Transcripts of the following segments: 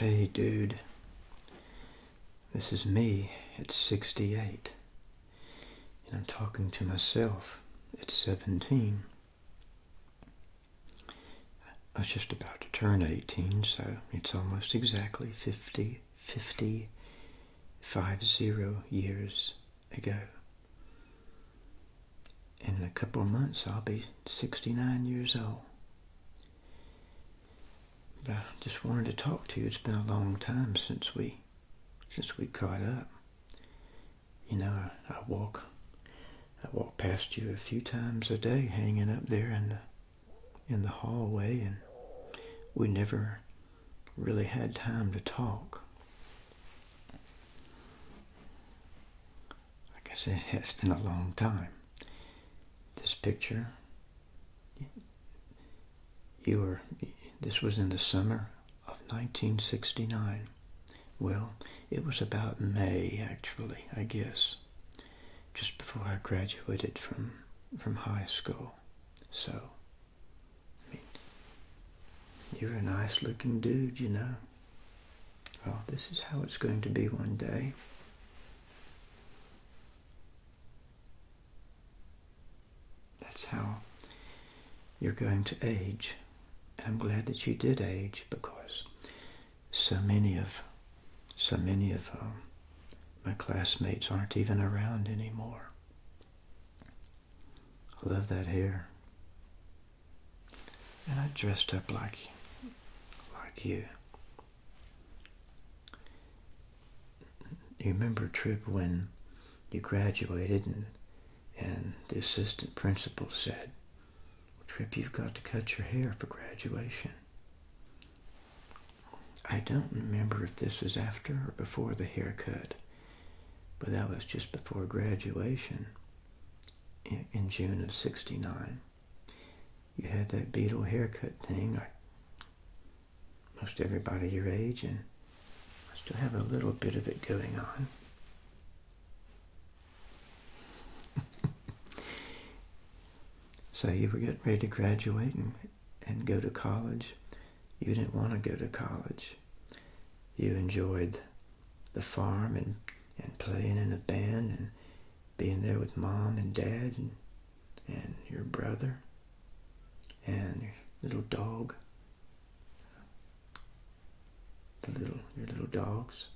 Hey, dude. This is me at 68. And I'm talking to myself It's 17. I was just about to turn 18, so it's almost exactly 50, 50, five zero years ago. And in a couple of months, I'll be 69 years old. But I just wanted to talk to you. It's been a long time since we, since we caught up. You know, I, I walk, I walk past you a few times a day, hanging up there in the, in the hallway, and we never really had time to talk like I said, it's been a long time. This picture, you were, this was in the summer of 1969. Well, it was about May, actually, I guess, just before I graduated from, from high school. So, you're a nice looking dude, you know oh, this is how it's going to be one day. That's how you're going to age. And I'm glad that you did age because so many of so many of um, my classmates aren't even around anymore. I love that hair. And I dressed up like like you. You remember Trip when you graduated and the assistant principal said, Trip, you've got to cut your hair for graduation. I don't remember if this was after or before the haircut, but that was just before graduation in, June of 69. You had that beetle haircut thing. Like most everybody your age and I still have a little bit of it going on. so you were getting ready to graduate and, and go to college. You didn't want to go to college. You enjoyed the farm and, and playing in a band and being there with mom and dad and, and your brother and your little dog. The little your little dogs.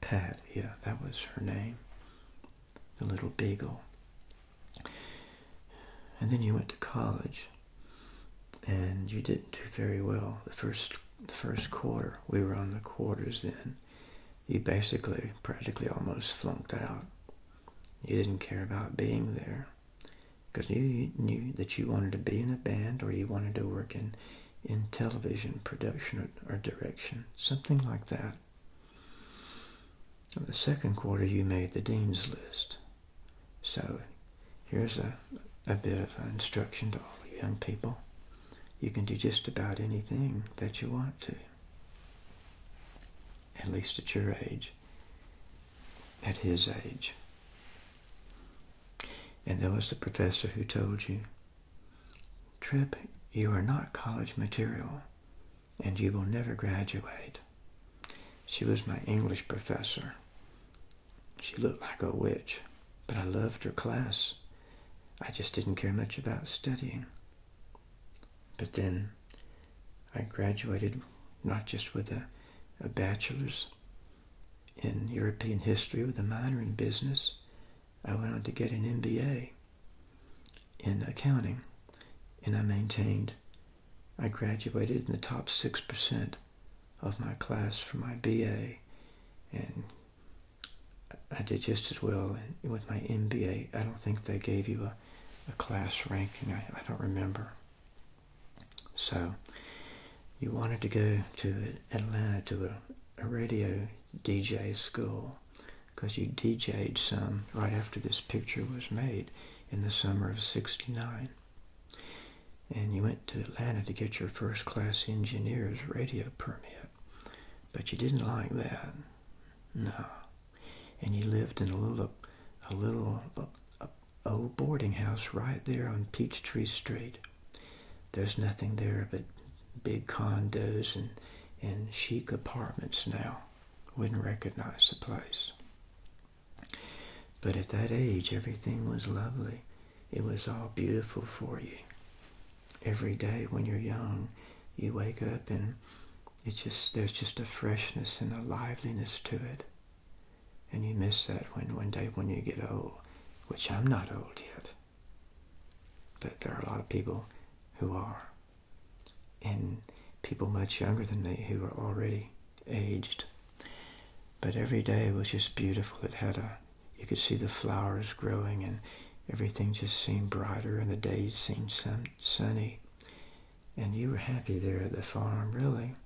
Pat, yeah, that was her name. The little beagle. And then you went to college and you didn't do very well. The first the first quarter. We were on the quarters then. You basically practically almost flunked out. You didn't care about being there because you knew that you wanted to be in a band or you wanted to work in, in television production or, direction, something like that. In the second quarter, you made the dean's list. So here's a, a bit of instruction to all you young people you can do just about anything that you want to. At least at your age, at his age. And there was the professor who told you, Trip, you are not college material and you will never graduate. She was my English professor she looked like a witch, but I loved her class. I just didn't care much about studying. But then I graduated not just with a, bachelor's in European history with a minor in business. I went on to get an MBA in accounting and I maintained. I graduated in the top 6% of my class for my BA and I did just as well with my MBA. I don't think they gave you a, class ranking. I, don't remember. So you wanted to go to Atlanta to a, a radio DJ school because you DJ'd some right after this picture was made in the summer of 69 and you went to Atlanta to get your first class engineer's radio permit. But you didn't like that. No. And you lived in a little, a little old boarding house right there on Peachtree Street. There's nothing there but big condos and, and chic apartments now. Wouldn't recognize the place. But at that age, everything was lovely it was all beautiful for you. Every day when you're young, you wake up and it's just there's just a freshness and a liveliness to it. And you miss that when one day when you get old, which I'm not old yet. But there are a lot of people who are. And people much younger than me who are already aged. But every day was just beautiful. It had a you could see the flowers growing and everything just seemed brighter and the days seemed sun sunny. And you were happy there at the farm, really.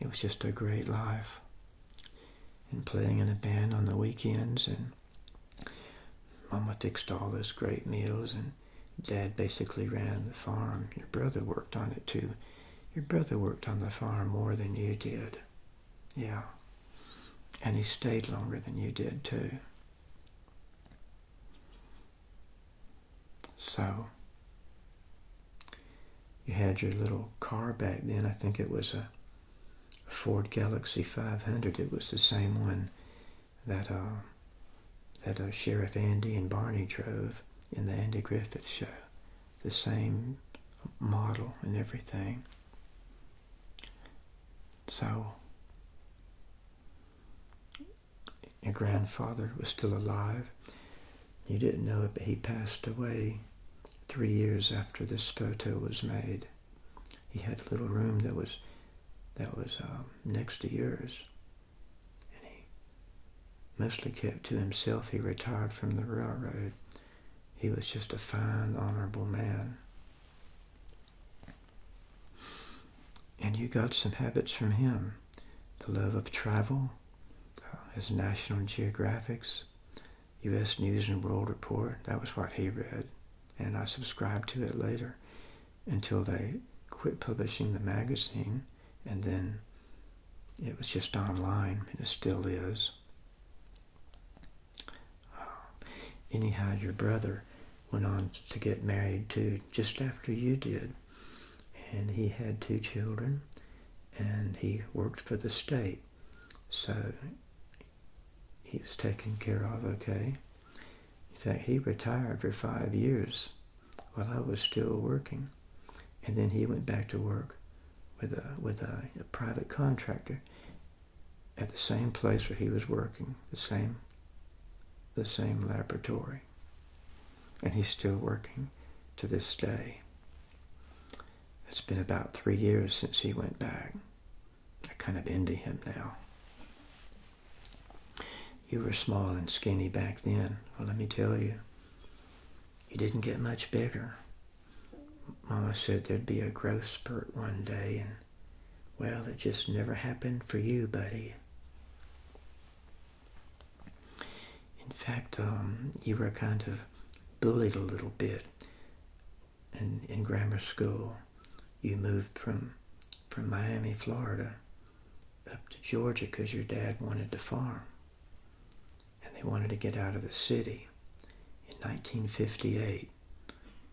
It was just a great life. And playing in a band on the weekends and Mama fixed all those great meals and Dad basically ran the farm. Your brother worked on it too. Your brother worked on the farm more than you did. Yeah. And he stayed longer than you did, too. So, you had your little car back then. I think it was a Ford Galaxy 500. It was the same one that uh, that uh, Sheriff Andy and Barney drove in the Andy Griffith show. The same model and everything. So, your grandfather was still alive. You didn't know it, but he passed away three years after this photo was made. He had a little room that was that was um, next to yours, and he mostly kept to himself. He retired from the railroad, he was just a fine, honorable man. And you got some habits from him. The love of travel, uh, his National Geographics, U.S. News and World Report. That was what he read. And I subscribed to it later until they quit publishing the magazine. And then it was just online. It still is. Ah. anyhow, your brother went on to get married too, just after you did. And he had two children, and he worked for the state. So he was taken care of okay. In fact, he retired for five years while I was still working. And then he went back to work with a, with a private contractor at the same place where he was working, the same, the same laboratory. And he's still working to this day. It's been about three years since he went back. I kind of envy him now. You were small and skinny back then. Well, let me tell you, you didn't get much bigger. Mama said there'd be a growth spurt one day, and well, it just never happened for you, buddy. In fact, um, you were kind of bullied a little bit in, in grammar school. You moved from, from Miami, Florida, up to Georgia because your dad wanted to farm and they wanted to get out of the city in 1958.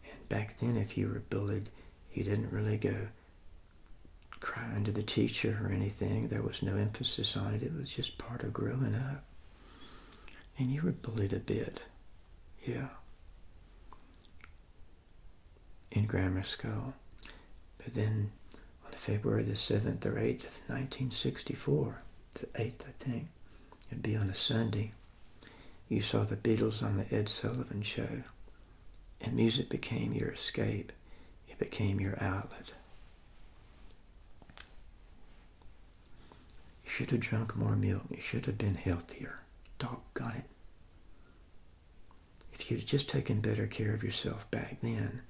And back then, if you were bullied, you didn't really go crying to the teacher or anything. There was no emphasis on it. It was just part of growing up. And you were bullied a bit, yeah, in grammar school. But then on February the 7th or 8th of 1964, the 8th, I think, It'd be on a Sunday. You saw the Beatles on the Ed Sullivan show. And music became your escape. It became your outlet. You should have drunk more milk. You should have been healthier. Doggone it. If you'd just taken better care of yourself back then,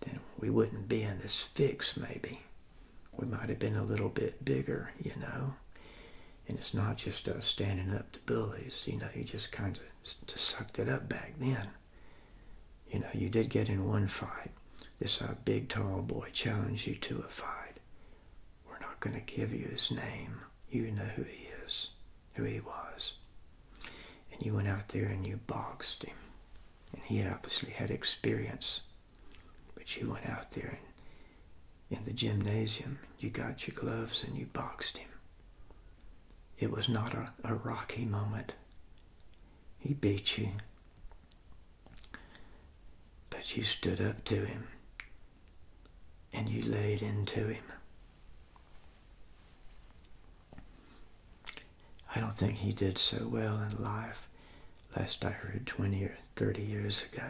then we wouldn't be in this fix, maybe we might have been a little bit bigger, you know. And it's not just us standing up to bullies, you know, you just kind of sucked it up back then. You know, you did get in one fight. This uh, big tall boy challenged you to a fight. We're not going to give you his name. You know who he is, who he was. And you went out there and you boxed him. And he obviously had experience but you went out there in the gymnasium, you got your gloves and you boxed him. It was not a, rocky moment. He beat you. But you stood up to him and you laid into him. I don't think he did so well in life. Last I heard 20 or 30 years ago.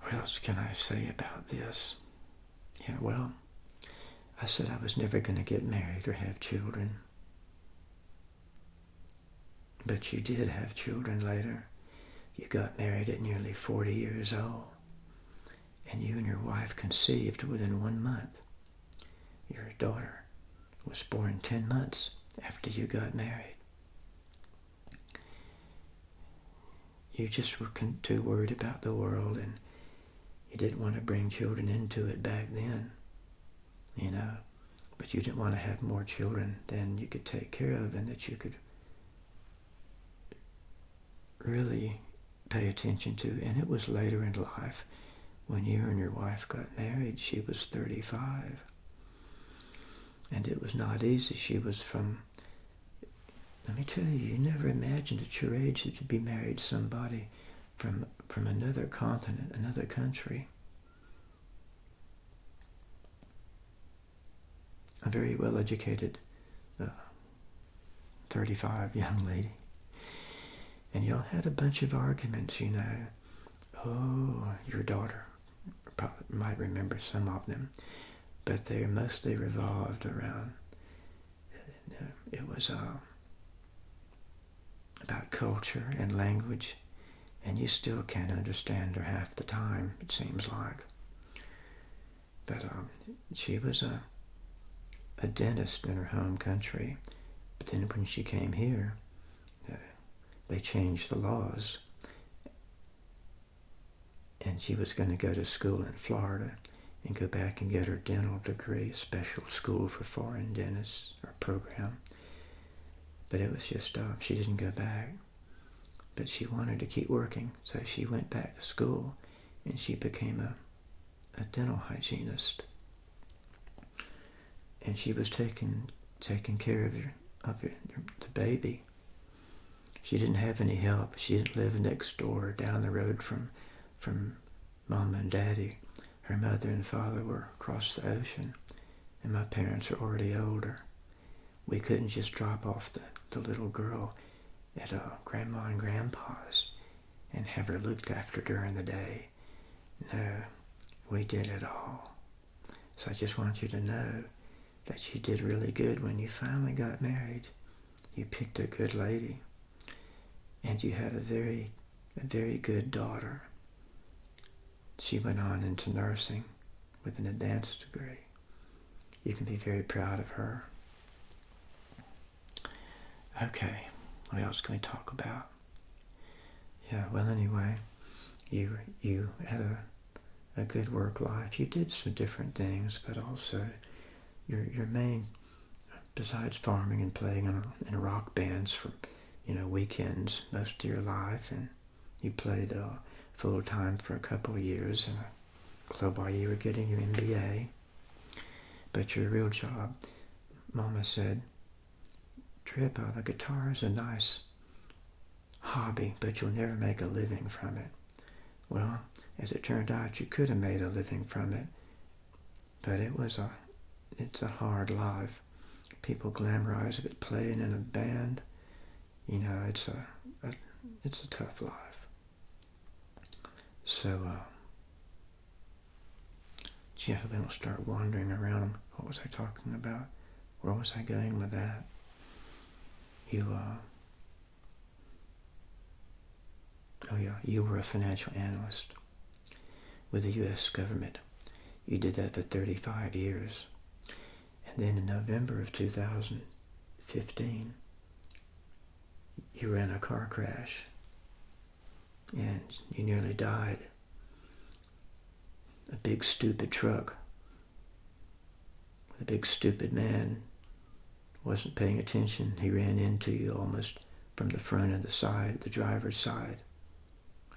What else can I say about this? Yeah, well, I said I was never going to get married or have children. But you did have children later. You got married at nearly 40 years old. And you and your wife conceived within one month. Your daughter was born 10 months after you got married. You just were too worried about the world and you didn't want to bring children into it back then, you know. But you didn't want to have more children than you could take care of and that you could really pay attention to. And it was later in life when you and your wife got married, she was 35. And it was not easy. She was from, let me tell you, you never imagined at your age that you'd be married somebody from, from another continent, another country. A very well-educated uh, 35 young lady and y'all had a bunch of arguments, you know. Oh, your daughter might remember some of them, but they mostly revolved around. Uh, it was uh, about culture and language, and you still can't understand her half the time. It seems like, but um, she was a a dentist in her home country. But then when she came here, uh, they changed the laws. And she was going to go to school in Florida and go back and get her dental degree, a special school for foreign dentists or program. But it was just uh, she didn't go back. But she wanted to keep working, so she went back to school and she became a a dental hygienist, and she was taking taking care of your of the baby. She didn't have any help. She didn't live next door down the road from from mom and daddy. Her mother and father were across the ocean, and my parents are already older. We couldn't just drop off the, the little girl at uh, grandma and grandpa's and have her looked after during the day. No, we did it all. So I just want you to know that you did really good when you finally got married. You picked a good lady. And you had a very, very good daughter. She went on into nursing with an advanced degree. You can be very proud of her. Okay, what else can we talk about? Yeah, well, anyway, you you had a a good work life. You did some different things, but also your your main besides farming and playing in, rock bands for you know weekends most of your life, and you played uh, full time for a couple of years in a club while you were getting your MBA. But your real job, Mama said, Tripper, the guitar is a nice hobby, but you'll never make a living from it. Well, as it turned out, you could have made a living from it, but it was a, it's a hard life. People glamorize it, playing in a band. You know, it's a, it's a tough life. So, uh, Gee, I hope I do start wandering around. What was I talking about? Where was I going with that? You, uh, oh yeah, you were a financial analyst with the U.S. government. You did that for 35 years. And then in November of 2015, you ran a car crash and you nearly died. A big stupid truck with a big stupid man wasn't paying attention. He ran into you almost from the front and the side, the driver's side.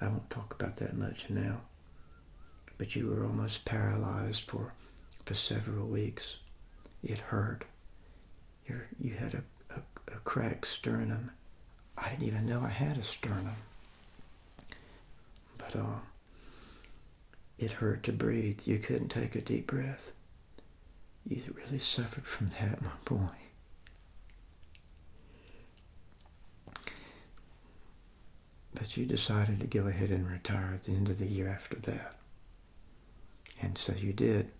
I won't talk about that much now. But you were almost paralyzed for, for several weeks. It hurt you had a, a, a cracked sternum. I didn't even know I had a sternum. But uh, it hurt to breathe. You couldn't take a deep breath. You really suffered from that, my boy. But you decided to go ahead and retire at the end of the year after that. And so you did.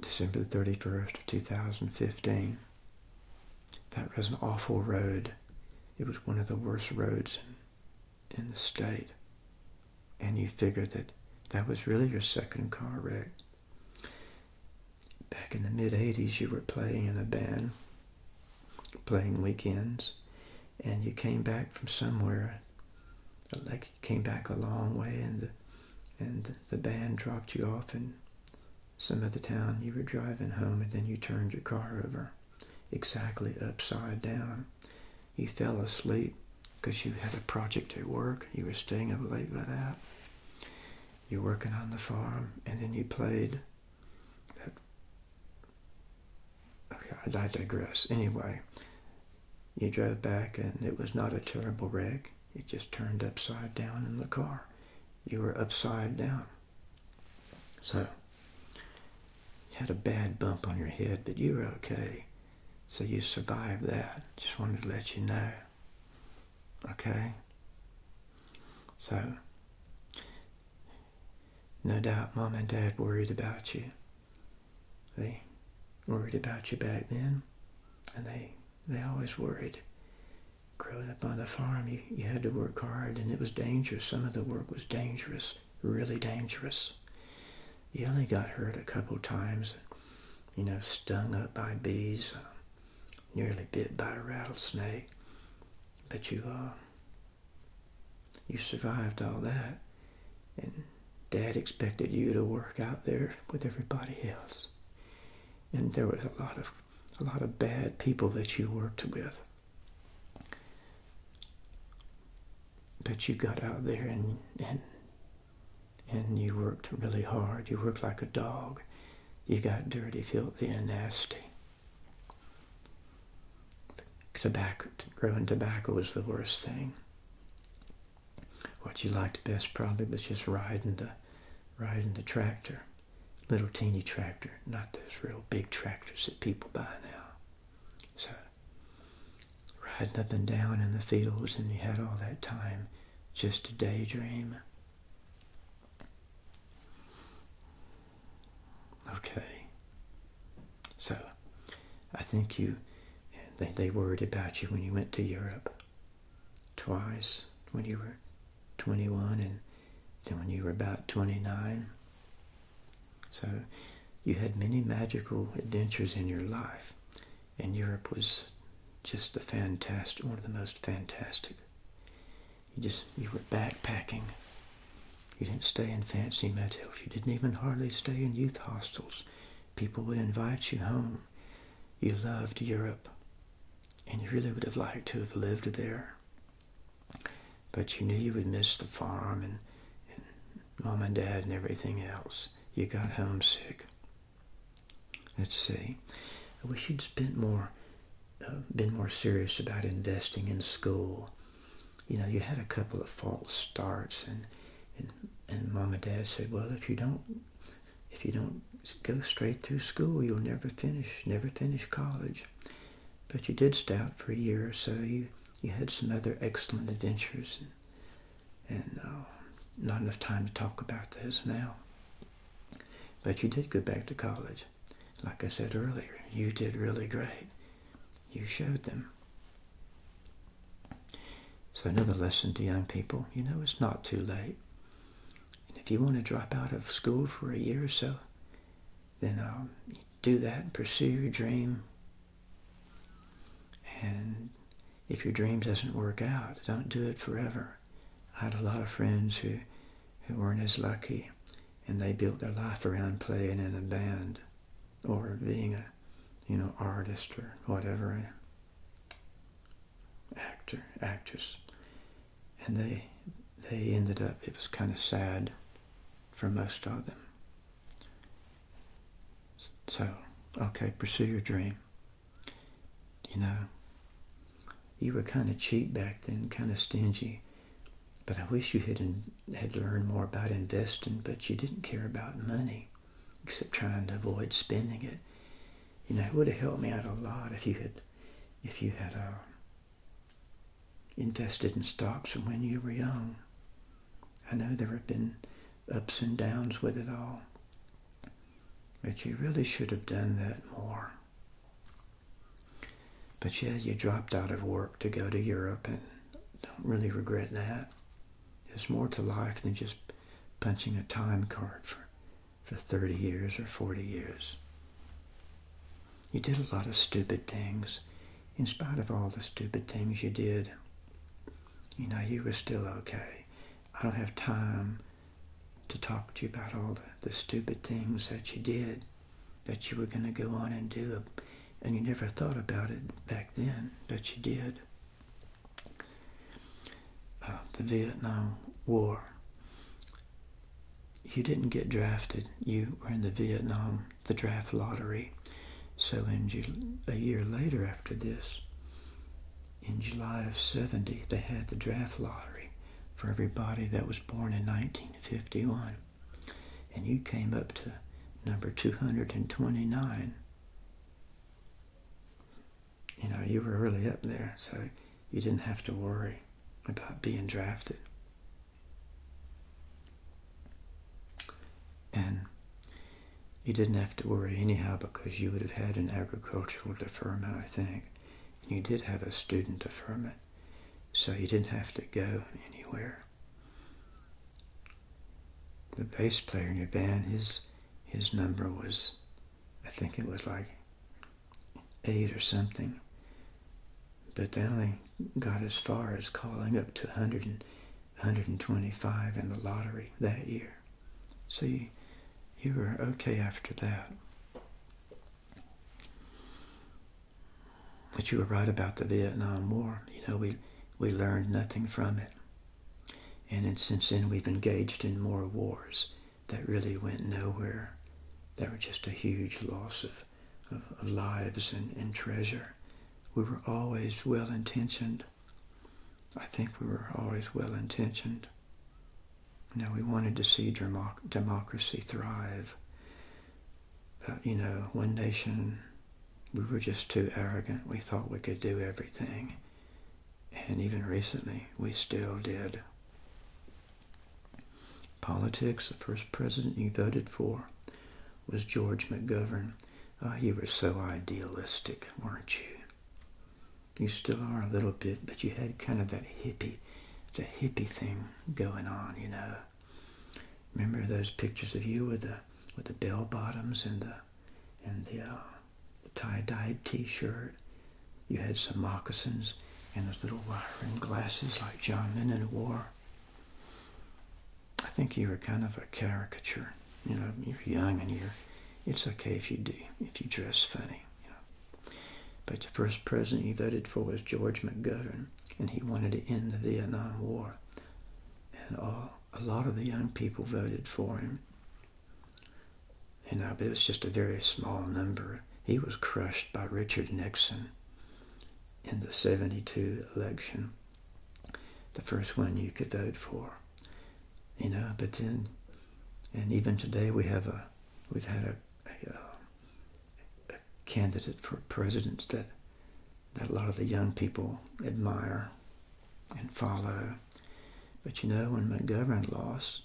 December the 31st of 2015. That was an awful road. It was one of the worst roads in the state. And you figure that that was really your second car wreck. Back in the mid 80s, you were playing in a band, playing weekends, and you came back from somewhere. Like you came back a long way, and and the band dropped you off in some other town. You were driving home and then you turned your car over exactly upside down. You fell asleep because you had a project at work. You were staying up late by that. You're working on the farm and then you played that. Okay, I digress. Anyway, you drove back and it was not a terrible wreck. You just turned upside down in the car. You were upside down. So, you had a bad bump on your head, but you were okay. So you survived that. Just wanted to let you know. Okay? So, no doubt mom and dad worried about you. They worried about you back then, and they they always worried. Growing up on the farm, you, you had to work hard and it was dangerous. Some of the work was dangerous, really dangerous. You only got hurt a couple times, you know, stung up by bees, uh, nearly bit by a rattlesnake. But you, uh, you survived all that. And Dad expected you to work out there with everybody else and there was a lot of a lot of bad people that you worked with. But you got out there and and and you worked really hard. You worked like a dog. You got dirty, filthy, and nasty. Tobacco, growing tobacco was the worst thing what you liked best probably was just riding the riding the tractor little teeny tractor not those real big tractors that people buy now so riding up and down in the fields and you had all that time just to daydream okay so i think you they worried about you when you went to europe twice when you were 21 and then when you were about 29. So you had many magical adventures in your life, and Europe was just the fantastic, one of the most fantastic. You just, you were backpacking. You didn't stay in fancy motels. You didn't even hardly stay in youth hostels. People would invite you home. You loved Europe and you really would have liked to have lived there. But you knew you would miss the farm and, mom and dad and everything else. You got homesick. Let's see. I wish you'd spent more, uh, been more serious about investing in school. You know, you had a couple of false starts, and and, and mom and dad said, well, if you don't if you don't go straight through school, you'll never finish, never finish college. But you did stay for a year or so. You, you had some other excellent adventures, and, uh, not enough time to talk about those now. But you did go back to college. Like I said earlier, you did really great. You showed them. So another lesson to young people, you know, it's not too late if you want to drop out of school for a year or so, then um, do that and pursue your dream. And if your dream doesn't work out, don't do it forever. I had a lot of friends who, who weren't as lucky, and they built their life around playing in a band or being a, you know, artist or whatever actor, actress, and they they ended up. It was kind of sad for most of them. So, okay, pursue your dream. You know, you were kind of cheap back then, kind of stingy. But I wish you had had learned more about investing. But you didn't care about money, except trying to avoid spending it you know, it would have helped me out a lot if you had, if you had uh, invested in stocks from when you were young. I know there have been ups and downs with it all, but you really should have done that more. But yeah, you dropped out of work to go to Europe and don't really regret that. There's more to life than just punching a time card for for 30 years or 40 years. You did a lot of stupid things. In spite of all the stupid things you did, you know, you were still okay. I don't have time to talk to you about all the, stupid things that you did, that you were going to go on and do, and you never thought about it back then, but you did. Uh, the Vietnam War. You didn't get drafted. You were in the Vietnam, the draft lottery. So in Ju- a year later after this, in July of 70, they had the draft lottery for everybody that was born in 1951. And you came up to number 229 you know, you were really up there, so you didn't have to worry about being drafted. And you didn't have to worry anyhow because you would have had an agricultural deferment, I think. You did have a student deferment, so you didn't have to go anywhere. The bass player in your band, his his number was I think it was like eight or something. But they only got as far as calling up to 100 in the lottery that year. See, you, were okay after that. But you were right about the Vietnam War. You know, we, we learned nothing from it. And since then, we've engaged in more wars that really went nowhere. That were just a huge loss of, of, lives and, treasure. We were always well intentioned. I think we were always well intentioned. You know, we wanted to see democracy thrive. But, you know, one nation, we were just too arrogant. We thought we could do everything and even recently we still did. Politics, the first president you voted for was George McGovern. Oh, you were so idealistic, weren't you? You still are a little bit, but you had kind of that hippie, that hippie thing going on, you know. Remember those pictures of you with the with the bell bottoms and the and the uh, the tie-dyed t-shirt. You had some moccasins and those little wire rimmed glasses like John Lennon wore. I think you were kind of a caricature. You know, you're young and you're, it's okay if you do, if you dress funny. You know. But the first president you voted for was George McGovern, and he wanted to end the Vietnam War. And all, a lot of the young people voted for him. You know, but it was just a very small number. He was crushed by Richard Nixon in the 72 election, the first one you could vote for. You know, but then, and even today we have a, we've had a, uh, candidate for president that, that a lot of the young people admire and follow. But you know, when McGovern lost,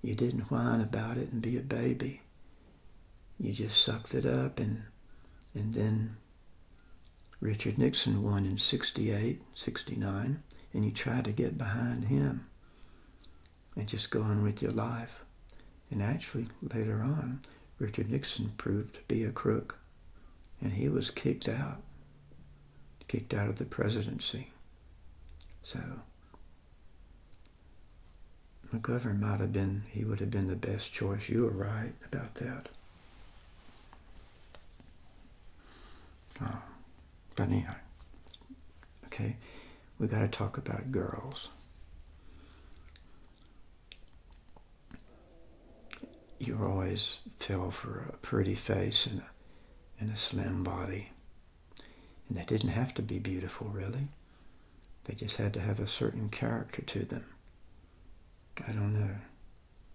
you didn't whine about it and be a baby. You just sucked it up and and then Richard Nixon won in 68, 69, and you tried to get behind him and just go on with your life. And actually, later on, Richard Nixon proved to be a crook, and he was kicked out kicked out of the presidency. So McGovern might have been, he would have been the best choice. You were right about that. Uh, but anyhow, okay, we got to talk about girls. You always fell for a pretty face and a slim body. And they didn't have to be beautiful, really. They just had to have a certain character to them. I don't know.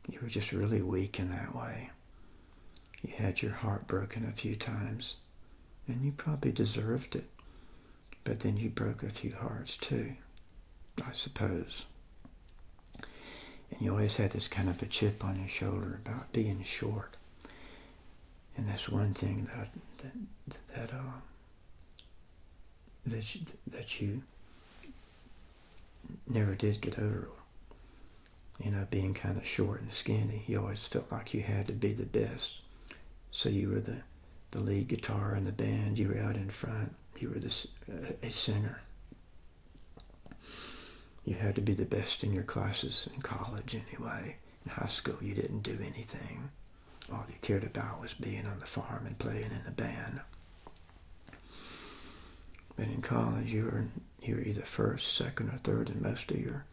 You were just really weak in that way. You had your heart broken a few times, and you probably deserved it. But then you broke a few hearts too, I suppose. And you always had this kind of a chip on your shoulder about being short and that's one thing that that that uh, that you, that you never did get over. You know, being kind of short and skinny, you always felt like you had to be the best. So you were the the lead guitar in the band. You were out in front. You were this uh, a singer you had to be the best in your classes in college anyway. In high school, you didn't do anything. All you cared about was being on the farm and playing in the band. But in college, you were, you were either first, second, or third in most of your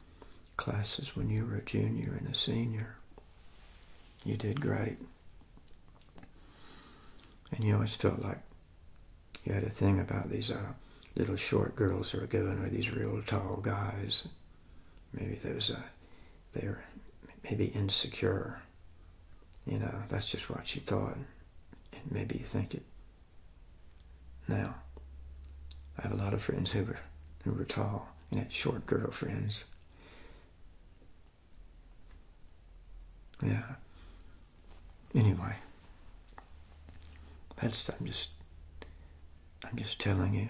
classes when you were a junior and a senior. You did great. And you always felt like you had a thing about these uh, little short girls are going with these real tall guys. Maybe those uh, they're maybe insecure. You know, that's just what she thought. And maybe you think it. Now, I have a lot of friends who were who were tall and had short girlfriends. Yeah. Anyway. That's I'm just I'm just telling you,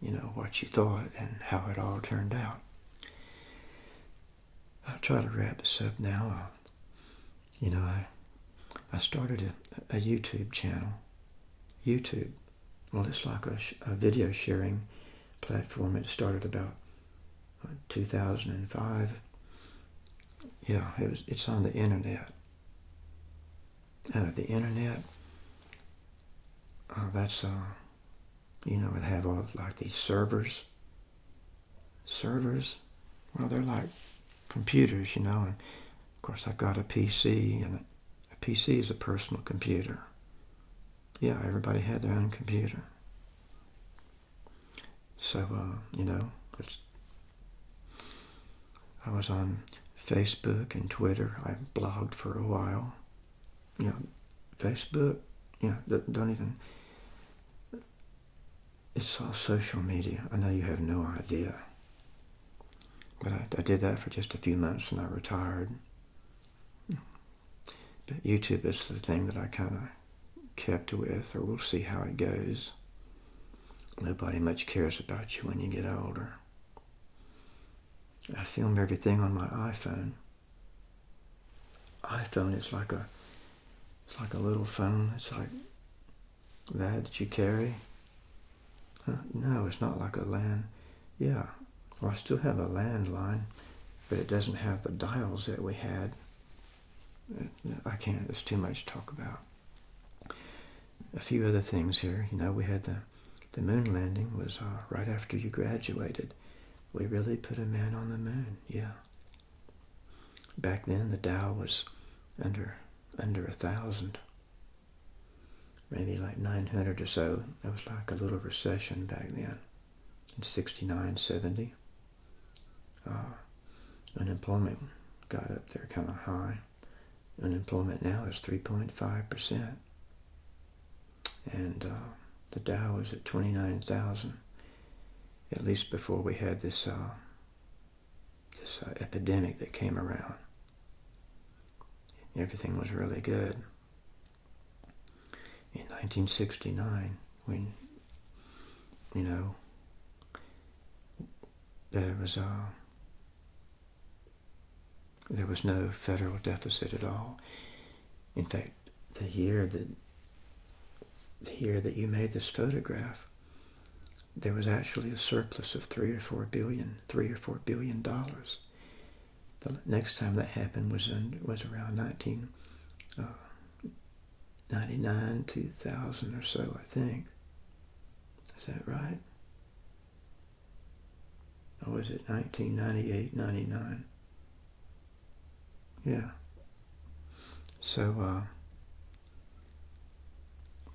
you know, what you thought and how it all turned out. I'll try to wrap this up now. Uh, you know, I I started a, YouTube channel. YouTube, well, it's like a, a video sharing platform. It started about uh, 2005. Yeah, it was. It's on the internet the internet. Oh, that's uh, you know, it have all like these servers. Servers, well, they're like computers, you know. And of course, I've got a PC, and a PC is a personal computer. Yeah, everybody had their own computer. So uh, you know, it's I was on Facebook and Twitter. I blogged for a while. You know, Facebook, you know, don't even. It's all social media. I know you have no idea. But I, I did that for just a few months and I retired. But YouTube is the thing that I kind of kept with, or we'll see how it goes. Nobody much cares about you when you get older. I film everything on my iPhone. iPhone is like a it's like a little phone. It's like that that you carry. no, it's not like a land. Yeah, I still have a landline, but it doesn't have the dials that we had. I can't. It's too much to talk about a few other things here. You know, we had the, the moon landing was uh, right after you graduated. We really put a man on the moon, yeah. Back then, the Dow was under under a thousand, maybe like 900 or so. That was like a little recession back then, in 69, 70. Uh, unemployment got up there kind of high. Unemployment now is 3.5%. And uh, the Dow is at 29,000, at least before we had this, uh, this uh, epidemic that came around. Everything was really good. In 1969, when, you know, there was a there was no federal deficit at all. In fact, the year that the year that you made this photograph, there was actually a surplus of three or four billion, three or four billion dollars. The next time that happened was was around 1999, uh, 2000 or so, I think. Is that right? Or was it 1998, 99? Yeah. So uh,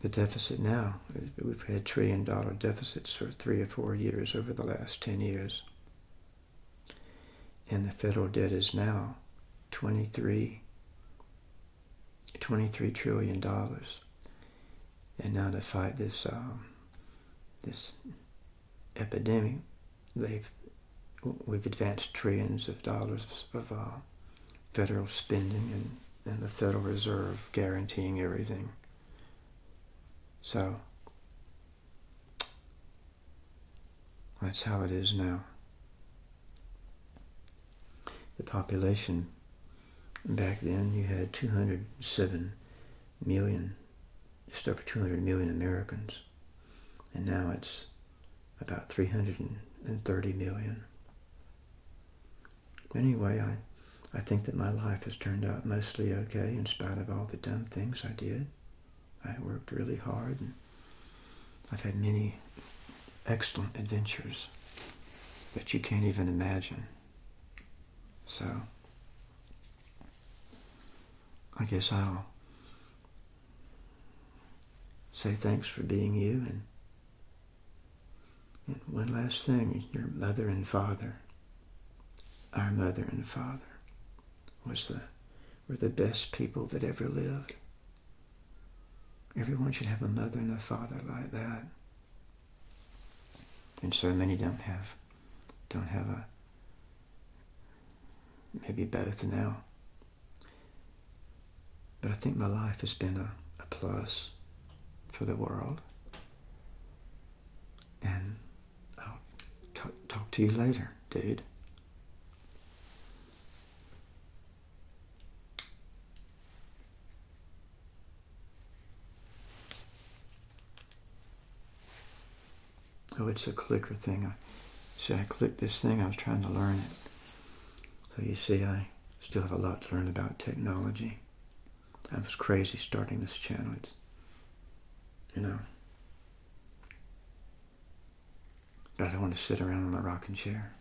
the deficit now, we've had trillion dollar deficits for three or four years over the last 10 years. And the federal debt is now 23 23 trillion dollars and now to fight this um, this epidemic they've we've advanced trillions of dollars of uh, federal spending and, and the Federal Reserve guaranteeing everything so that's how it is now the population back then you had 207 million, just over 200 million Americans. And now it's about 330 million. anyway, I, I think that my life has turned out mostly okay in spite of all the dumb things I did. I worked really hard and I've had many excellent adventures that you can't even imagine. So, I guess I'll say thanks for being you. And, one last thing your mother and father, our mother and father, was the, were the best people that ever lived. Everyone should have a mother and a father like that and so many don't have don't have a maybe both now but I think my life has been a, a plus for the world and I'll talk to you later dude Oh, it's a clicker thing. I see, I clicked this thing. I was trying to learn it. So you see, I still have a lot to learn about technology. I was crazy starting this channel. It's, you know. But I don't want to sit around in my rocking chair.